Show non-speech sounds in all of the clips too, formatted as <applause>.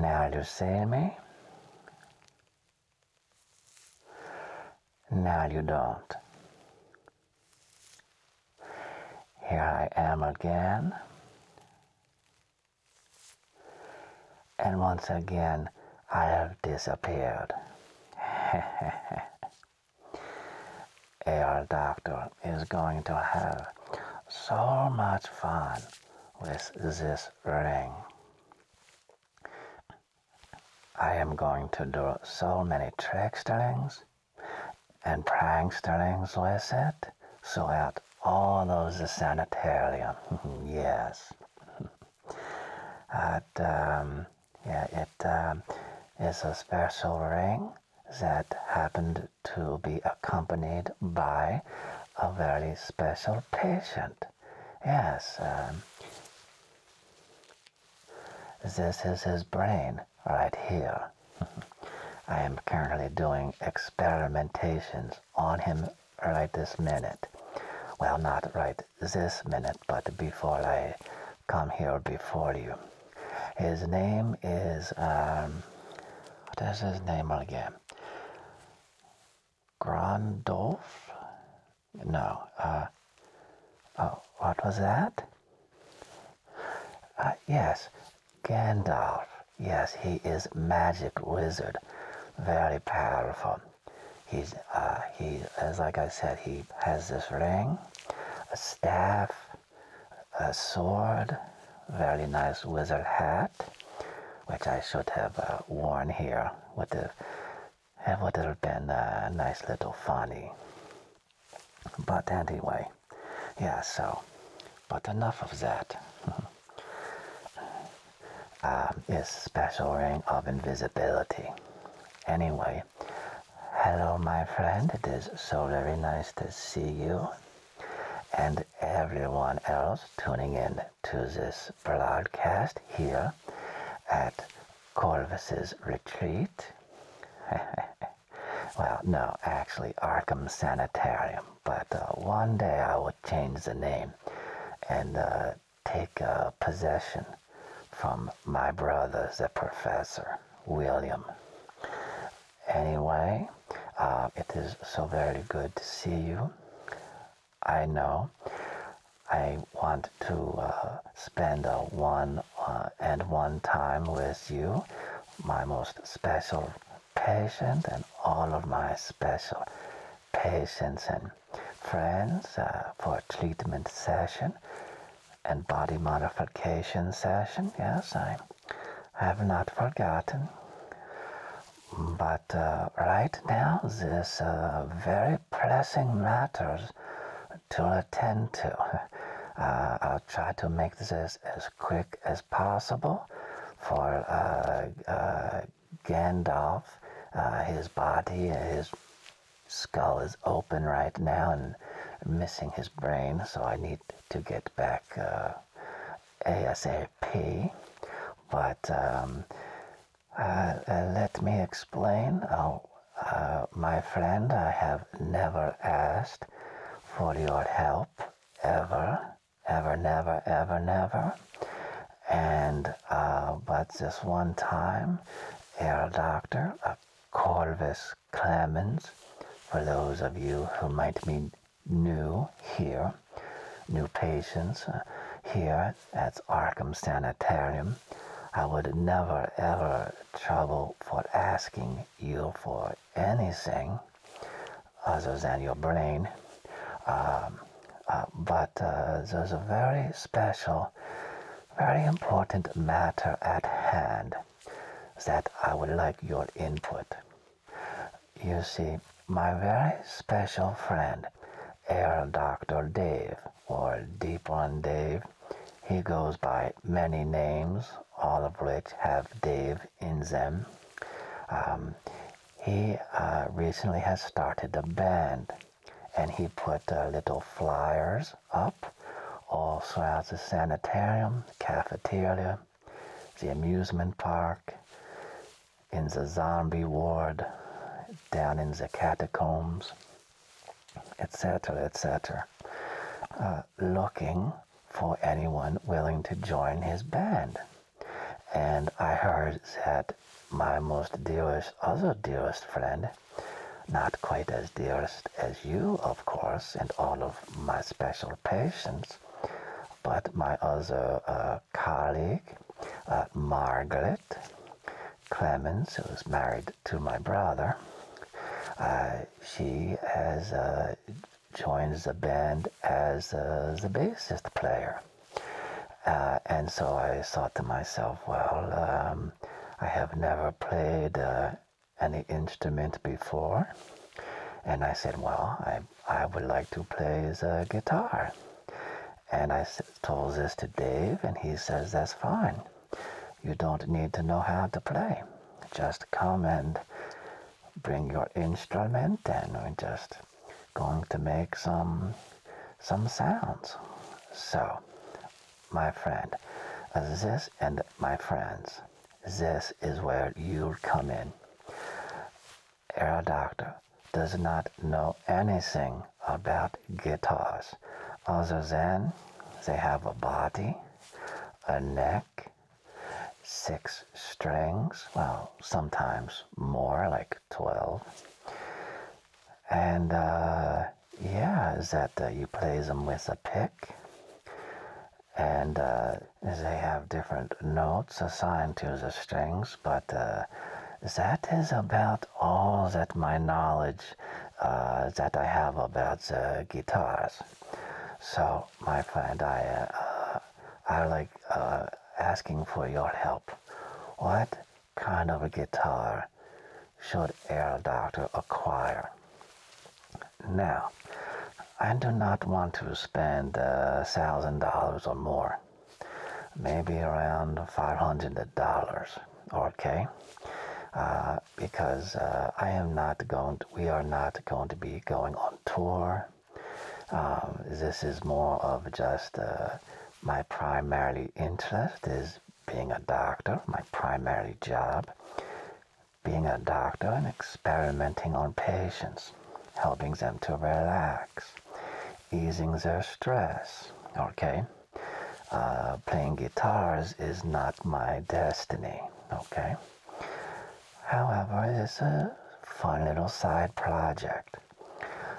Now you see me? Now you don't. Here I am again. And once again, I have disappeared. Air <laughs> Doctor is going to have so much fun with this ring. I am going to do so many tricksterings and pranksterings with it So throughout all those the sanitarium. <laughs> yes. It, um, yeah, it um, a special ring that happened to be accompanied by a very special patient. Yes, um, this is his brain right here. <laughs> I am currently doing experimentations on him right this minute. Well, not right this minute, but before I come here before you. His name is, um, what is his name again? Gandalf? No, uh, oh, what was that? Uh, yes, Gandalf. Yes, he is magic wizard. Very powerful. He's, uh, he, as like I said, he has this ring, a staff, a sword, very nice wizard hat, which I should have uh, worn here. Would have, would have been a uh, nice little funny. But anyway, yeah, so, but enough of that. uh, <laughs> special ring of invisibility. Anyway, hello my friend, it is so very nice to see you and everyone else tuning in to this broadcast here at Corvus's Retreat. <laughs> well, no, actually, Arkham Sanitarium, but uh, one day I will change the name and uh, take uh, possession from my brother, the professor, William. Anyway, uh, it is so very good to see you. I know I want to uh, spend one uh, and one time with you, my most special patient and all of my special patients and friends for treatment session and body modification session. Yes, i I have not forgotten. But uh, right now, this uh, very pressing matters to attend to. <laughs> Uh, I'll try to make this as quick as possible for uh, Gandalf. his body, his skull is open right now and missing his brain, so I need to get back ASAP, but um, uh, uh, let me explain. Oh, uh, my friend, I have never asked for your help ever, ever, never, ever, never. And but this one time, our doctor, a Corvus Clemens. For those of you who might be new here, new patients uh, here at Arkham Sanitarium, I would never ever trouble for asking you for anything other than your brain. Um, uh, but uh, there's a very special, very important matter at hand that I would like your input. You see, my very special friend, Air Dr. Dave, or Deep One Dave, he goes by many names, all of which have Dave in them. Um, he uh, recently has started a band, and he put uh, little flyers up also throughout the sanitarium, cafeteria, the amusement park, in the zombie ward, down in the catacombs, etc., etc., uh, looking for anyone willing to join his band. And I heard that my most dearest, other dearest friend, not quite as dearest as you, of course, and all of my special patients, but my other uh, colleague, uh, Margaret Clemens, who's married to my brother, uh, she has joined the band as the bassist player. and so I thought to myself, well, um, I have never played any instrument before? And I said, well, I, I would like to play a uh, guitar. And I told this to Dave, and he says, that's fine. You don't need to know how to play. Just come and bring your instrument, and we're just going to make some, some sounds. So, my friend, this and my friends, this is where you come in. Our doctor does not know anything about guitars other than they have a body, a neck, six strings, well, sometimes more, like 12. And uh, yeah, is that uh, you play them with a pick, and uh, they have different notes assigned to the strings, but uh, that is about all that my knowledge uh, that I have about the guitars. So, my friend, I, uh, I like asking for your help. What kind of a guitar should Air Doctor acquire? Now, I do not want to spend $1,000 uh, or more, maybe around $500, okay? Uh, because uh, I am not going, we are not going to be going on tour. Um, this is more of just my primary interest is being a doctor, my primary job being a doctor and experimenting on patients, helping them to relax, easing their stress, okay? Uh, playing guitars is not my destiny, okay? However, it's a fun little side project.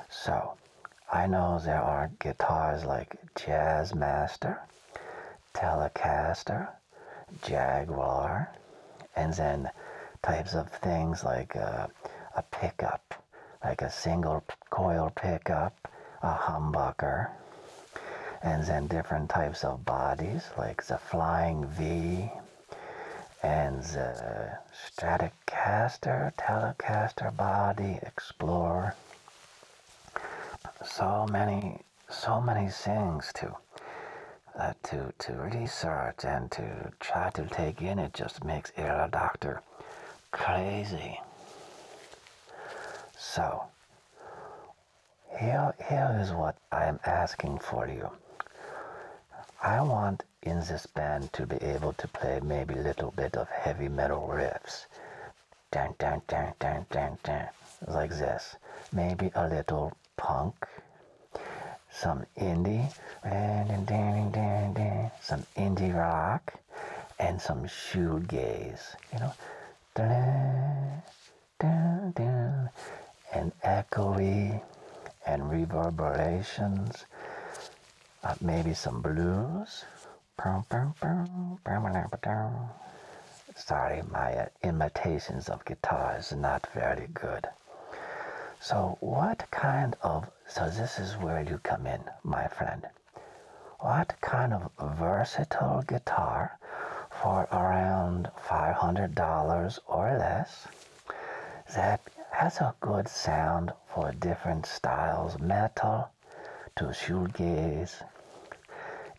So, I know there are guitars like Jazzmaster, Telecaster, Jaguar, and then types of things like uh, a pickup, like a single coil pickup, a humbucker, and then different types of bodies like the Flying V and the Stratocaster, Telecaster body, Explorer. So many so many things to uh, to to research and to try to take in. It just makes a doctor crazy. So here here is what I am asking for you. I want in this band to be able to play maybe a little bit of heavy metal riffs. Dun, dun, dun, dun, dun, dun, like this. Maybe a little punk, some indie, some indie rock, and some shoegaze. You know, and echoey and reverberations. Uh, maybe some blues. Sorry, my uh, imitations of guitar is not very good. So what kind of, so this is where you come in, my friend. What kind of versatile guitar for around $500 or less that has a good sound for different styles, metal to shoegaze,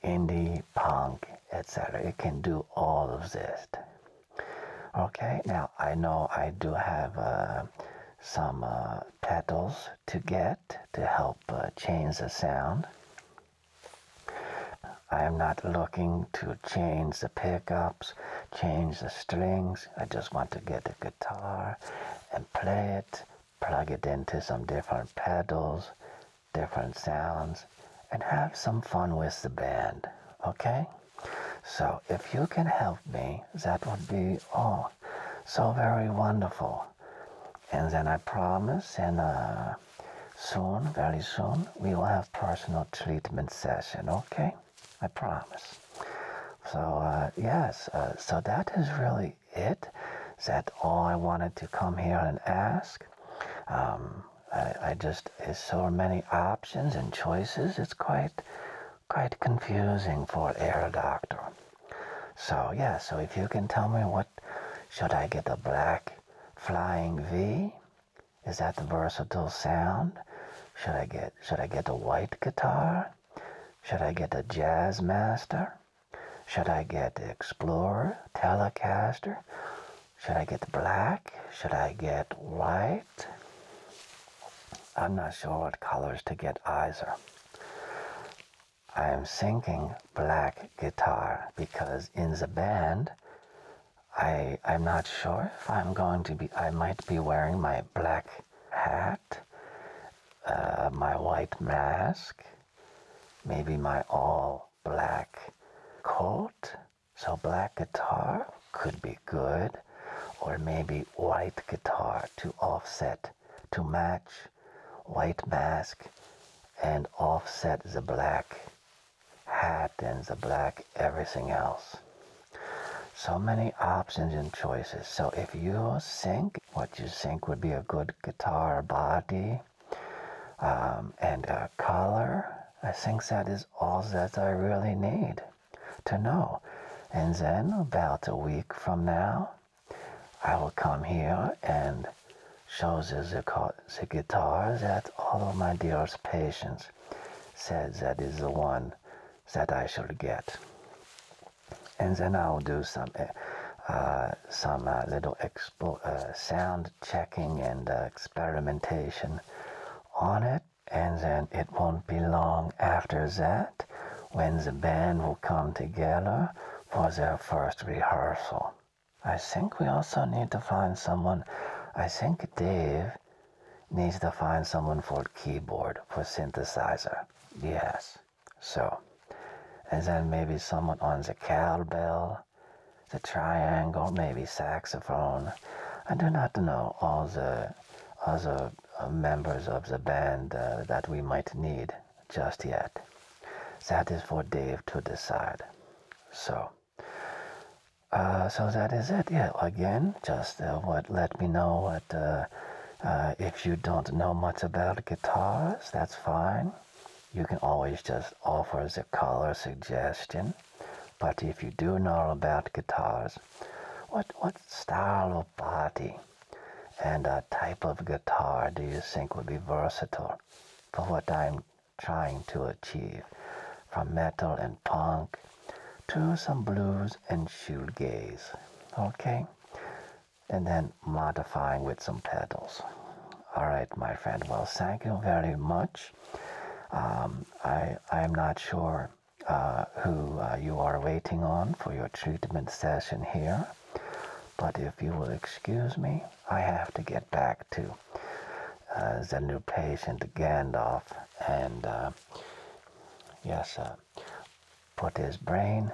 indie punk, etc. It can do all of this. Okay, now I know I do have uh, some uh, pedals to get to help uh, change the sound. I am not looking to change the pickups, change the strings. I just want to get the guitar and play it, plug it into some different pedals, different sounds, and have some fun with the band, okay? So if you can help me, that would be oh, so very wonderful. And then I promise, and uh, soon, very soon, we will have personal treatment session, okay? I promise. So uh, yes, uh, so that is really it. That all I wanted to come here and ask. Um, I, I just, there's so many options and choices, it's quite, quite confusing for a doctor. So yeah, so if you can tell me what, should I get a black flying V? Is that the versatile sound? Should I get, should I get a white guitar? Should I get a jazz master? Should I get Explorer, Telecaster? Should I get black? Should I get white? I'm not sure what colors to get either. I am thinking black guitar because in the band, I, I'm not sure if I'm going to be, I might be wearing my black hat, uh, my white mask, maybe my all black coat. So black guitar could be good, or maybe white guitar to offset, to match white mask and offset the black hat and the black everything else. So many options and choices. So if you think what you think would be a good guitar body um, and color. I think that is all that I really need to know. And then about a week from now, I will come here and show the, guitar that all of my dearest patients said that is the one that I should get. And then I'll do some uh, some uh, little uh, sound checking and uh, experimentation on it and then it won't be long after that when the band will come together for their first rehearsal. I think we also need to find someone. I think Dave needs to find someone for keyboard, for synthesizer. Yes. So, and then maybe someone on the cowbell, the triangle, maybe saxophone. I do not know all the other uh, members of the band uh, that we might need just yet. That is for Dave to decide. So, uh, so that is it. Yeah, again, just what let me know what if you don't know much about guitars, that's fine. You can always just offer as a color suggestion. But if you do know about guitars, what, what style of body and uh, type of guitar do you think would be versatile for what I'm trying to achieve? From metal and punk to some blues and shoegaze, okay? And then modifying with some pedals, all right, my friend. Well, thank you very much. Um, I I'm not sure uh, who uh, you are waiting on for your treatment session here, but if you will excuse me, I have to get back to uh, the new patient Gandalf and yes, put his brain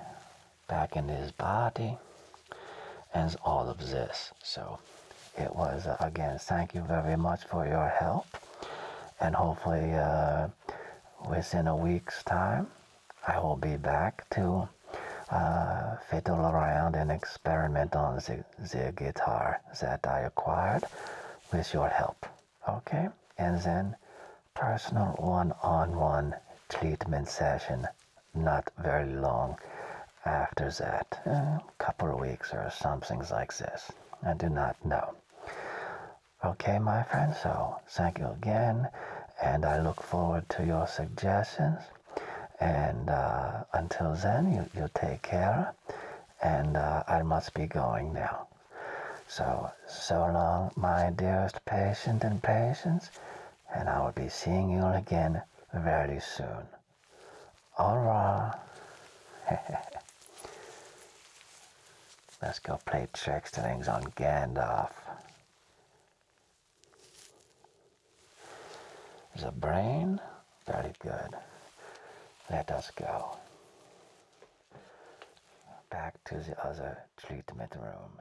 back in his body and all of this. So it was, uh, again, thank you very much for your help. And hopefully, uh, within a week's time, I will be back to uh, fiddle around and experiment on the guitar that I acquired with your help. Okay? And then personal one on one treatment session not very long after that, a couple of weeks or something like this. I do not know. Okay, my friend, so thank you again, and I look forward to your suggestions. And uh, until then, you, you take care, and uh, I must be going now. So, so long, my dearest patient and patients, and I will be seeing you again very soon. All <laughs> Let's go play tricks to things on Gandalf. There's a brain. Very good. Let us go. Back to the other treatment room.